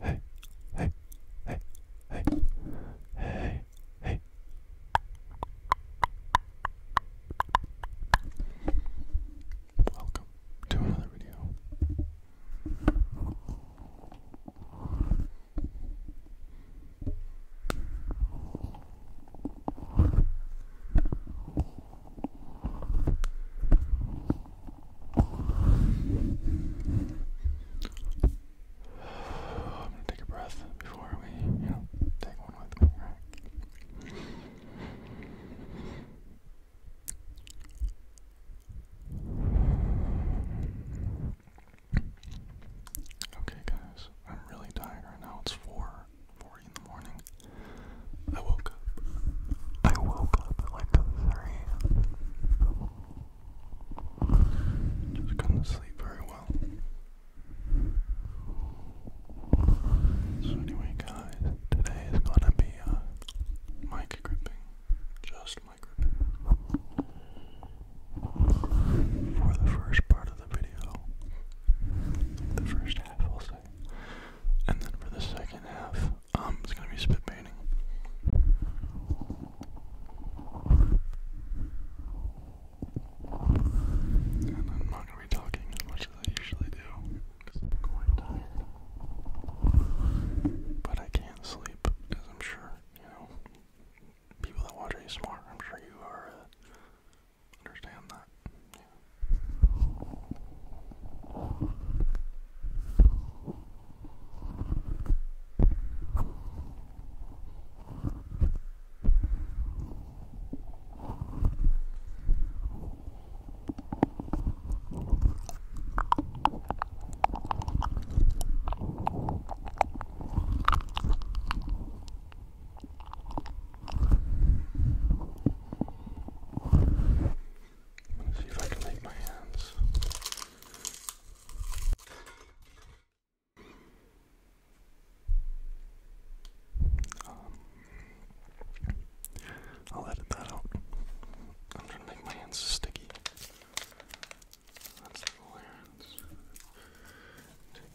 Hey, hey, hey, hey, hey, hey. Welcome to another video. I'm gonna take a breath before we, you know, take one with me, right? Okay, guys, I'm really tired right now. It's 4 40 in the morning. I woke up. I woke up like 3 just couldn't sleep very well. So anyway, guys, today is gonna be uh, mic gripping, just mic gripping for the first part of the video, the first half, I'll say, and then for the second half, um, it's gonna be spit painting. And I'm not gonna be talking as much as I usually do because I'm quite tired. But I can't sleep, as I'm sure, you know, people that watch ASMR, I'm sure you are, uh, understand that. Let's see if I can make my hands um, I'll edit that out. I'm trying to make my hands sticky. Let's take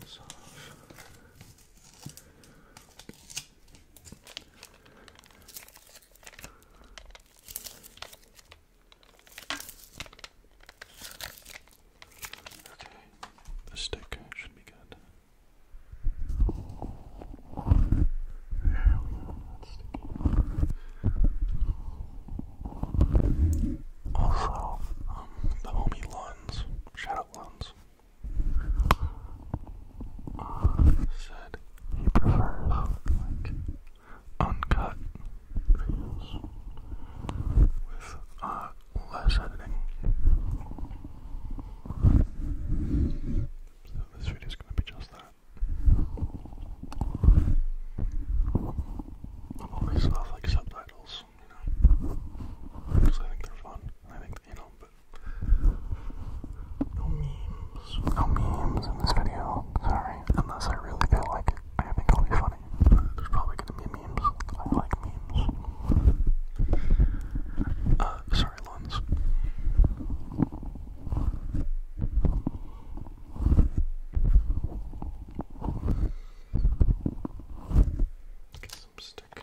this off. Okay, the stick should be good. Also, um, the homie Luns, shout out Luns, uh, said he prefers like uncut with uh, less editing. So this video is going to be just that. I always love like subtitles, you know, because I think they're fun. I think you know, but no memes, no memes in this video. Sorry story, unless I really feel like it. I think it'll be funny. There's probably gonna be memes. I like memes. Uh, sorry, Lons. Get some stick.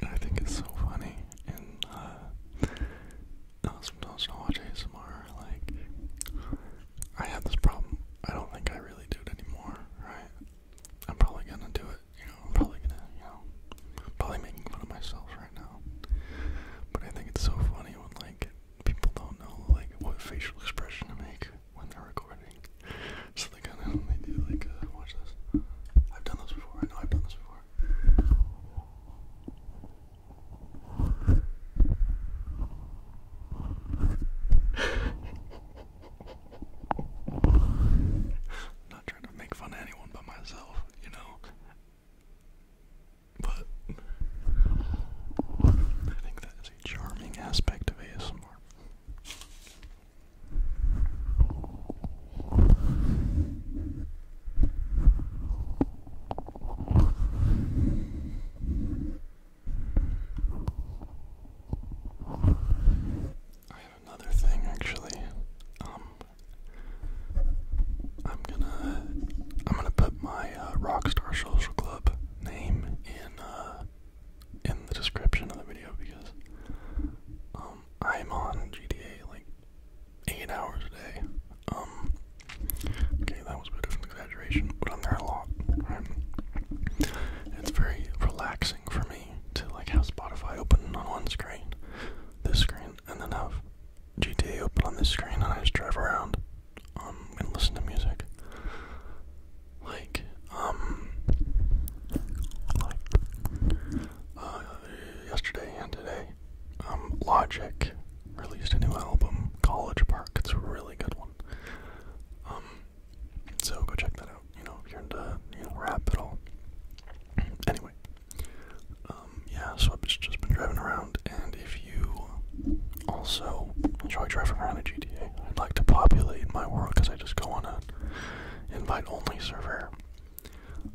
I think it's so funny, and uh, uh, sometimes I watch ASMR, like, I had this problem. I don't think I really do it anymore, right? I'm probably gonna do it, you know, I'm probably gonna, you know, probably making fun of myself right now. But I think it's so funny when, like, people don't know like what facial expression to make when they're recording. So they kind of they do like uh, watch this. I've done this before. I know I've done this before. am not trying to make fun of anyone but myself, you know. But I think that is a charming aspect of ASMR. I have another thing actually. Um, I'm gonna I'm gonna put my uh, Rockstar Social Club name in uh, in the description of the video because um, I'm on GTA like eight hours a day. Um, okay, that was a bit of an exaggeration, but I'm there a lot. It's very relaxing for me to like have Spotify open on one screen, this screen, and then have GTA open on this screen, and I just drive around um and listen to music. Like, um like uh yesterday and today, um, Logic released a new album, College Park. It's a really good one. Um so go check that out, you know, if you're into you know rap at all. Anyway. Um yeah, so I've just been driving around and if you you also enjoy driving around in GTA, I'd like to populate my world because I just go on a invite-only server.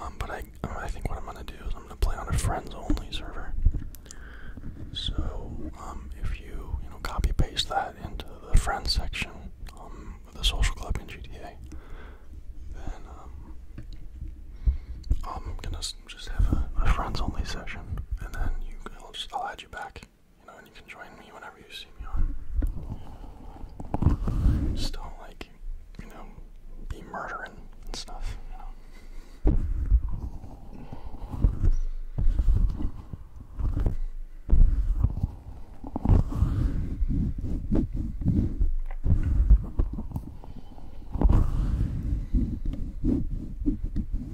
Um, but I, um, I think what I'm gonna do is I'm gonna play on a friends-only server. So um, if you, you know, copy-paste that into the friends section of the social club in GTA, then I'm gonna just have a, friends-only session, and then I'll just I'll add you back, you know, and you can join me whenever you see me on. Just don't like, you know, be murdering and stuff, you know.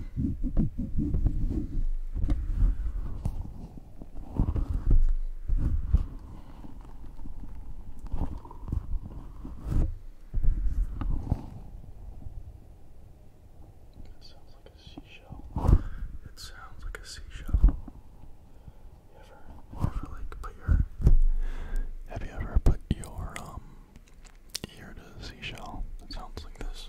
It sounds like a seashell. It sounds like a seashell. You you ever put your, have you ever put your ear to seashell It sounds like this.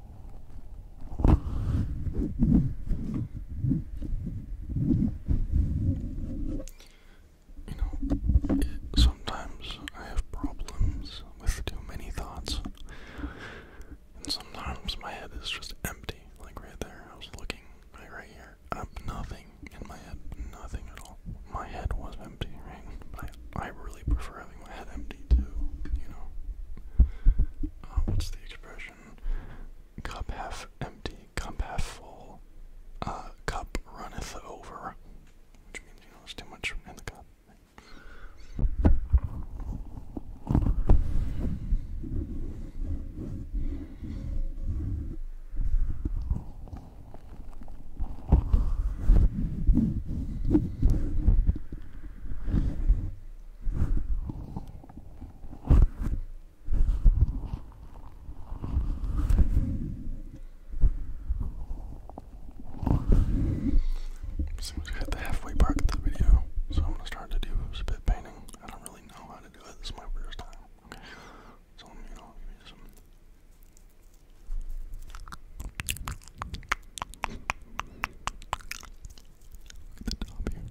You know, sometimes I have problems with too many thoughts, and sometimes my head is just empty, like right there. I was looking, like right here, I nothing in my head, nothing at all. My head was empty, right? But I, really prefer having my head empty too, you know. Uh, what's the expression? cup half empty, cup half full, uh, cup runneth over, which means, there's too much in the cup. Seems we hit the halfway mark of the video, so I'm gonna start to do spit painting. I don't really know how to do it. This is my first time. Okay. So you know, give Look at the top here.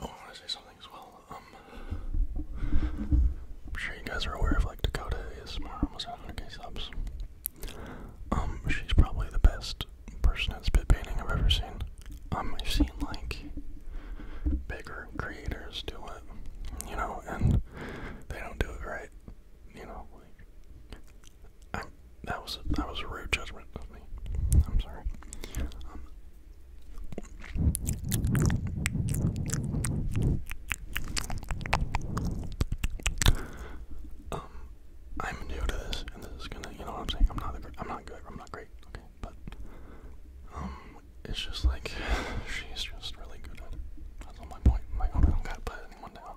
Oh, I want to say something as well. Um, I'm sure you guys are aware of like Dakota ASMR almost 100k subs. Um, she's probably the best person at spit painting I've ever seen. Um, I've seen like bigger creators do it, you know, and they don't do it right, you know. that was that was a rude judgment of me. I'm sorry. Um, I'm new to this, and this is gonna, you know what I'm saying? I'm not, I'm not good. I'm not great. Okay, but um, it's just like she's just really good That's all my point. I don't gotta put anyone down.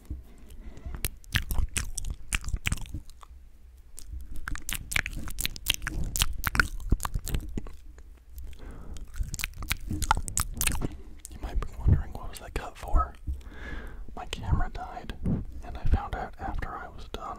You might be wondering what was that cut for? My camera died, and I found out after I was done.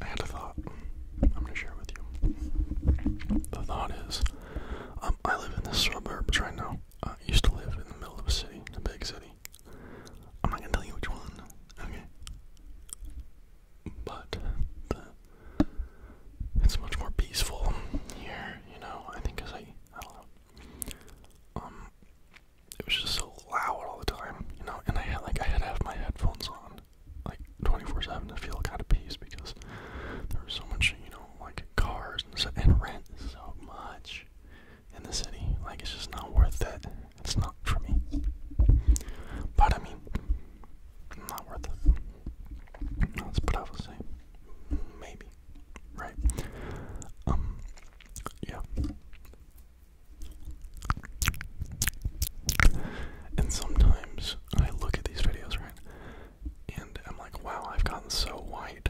I had a thought I'm going to share with you. The thought is um, I live in this suburb right now. I used to live in the middle of a city, a big city movie. I'm not gonna tell you which one, okay? But the, it's much more peaceful here, you know. I think because I, I don't know. Um, it was just so loud all the time, you know. And I had like I had to have my headphones on, like 24/7 to feel kind of peace because there was so much, you know, like cars and stuff, and rent so much in the city. Like it's just not worth it. It's not for me. But I mean, not worth it. That's what I would say. Maybe, right? Um, yeah. And sometimes I look at these videos, right? And I'm like, wow, I've gotten so white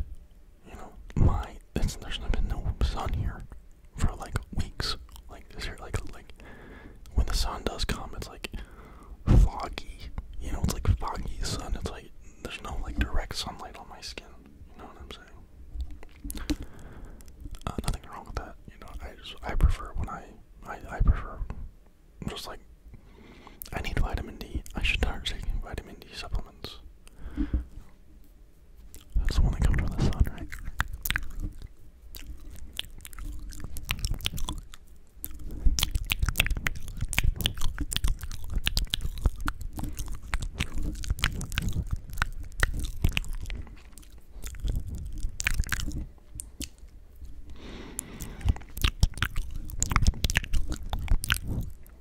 you know, my it's, there been no sun here for like weeks. Like is there like like when the sun does come, it's like foggy. You know, it's like foggy sun. It's like there's no like direct sunlight on my skin. You know what I'm saying? Uh, nothing wrong with that. You know, I just I prefer when I I, I prefer just like I need vitamin D. I should start taking vitamin D supplements. That's the one that comes from the sun, right?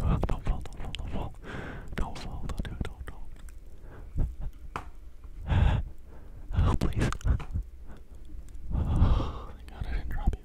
Oh, don't fall, don't fall, don't fall. Don't fall, don't do it, don't, don't. Oh, please. thank God I didn't drop you.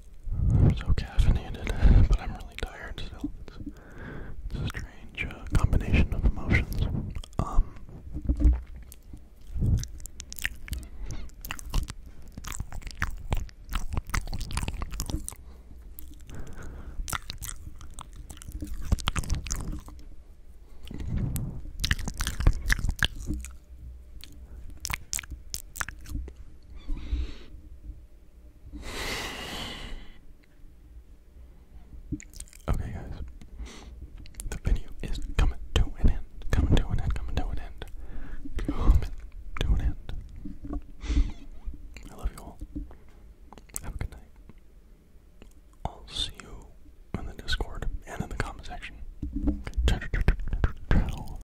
I'm so caffeinated, but I'm really tired still. It's, a strange uh, combination of emotions. Um, Okay, guys, the video is coming to an end. Coming to an end. Coming to an end. Coming to an end. I love you all. Have a good night. I'll see you in the Discord and in the comment section.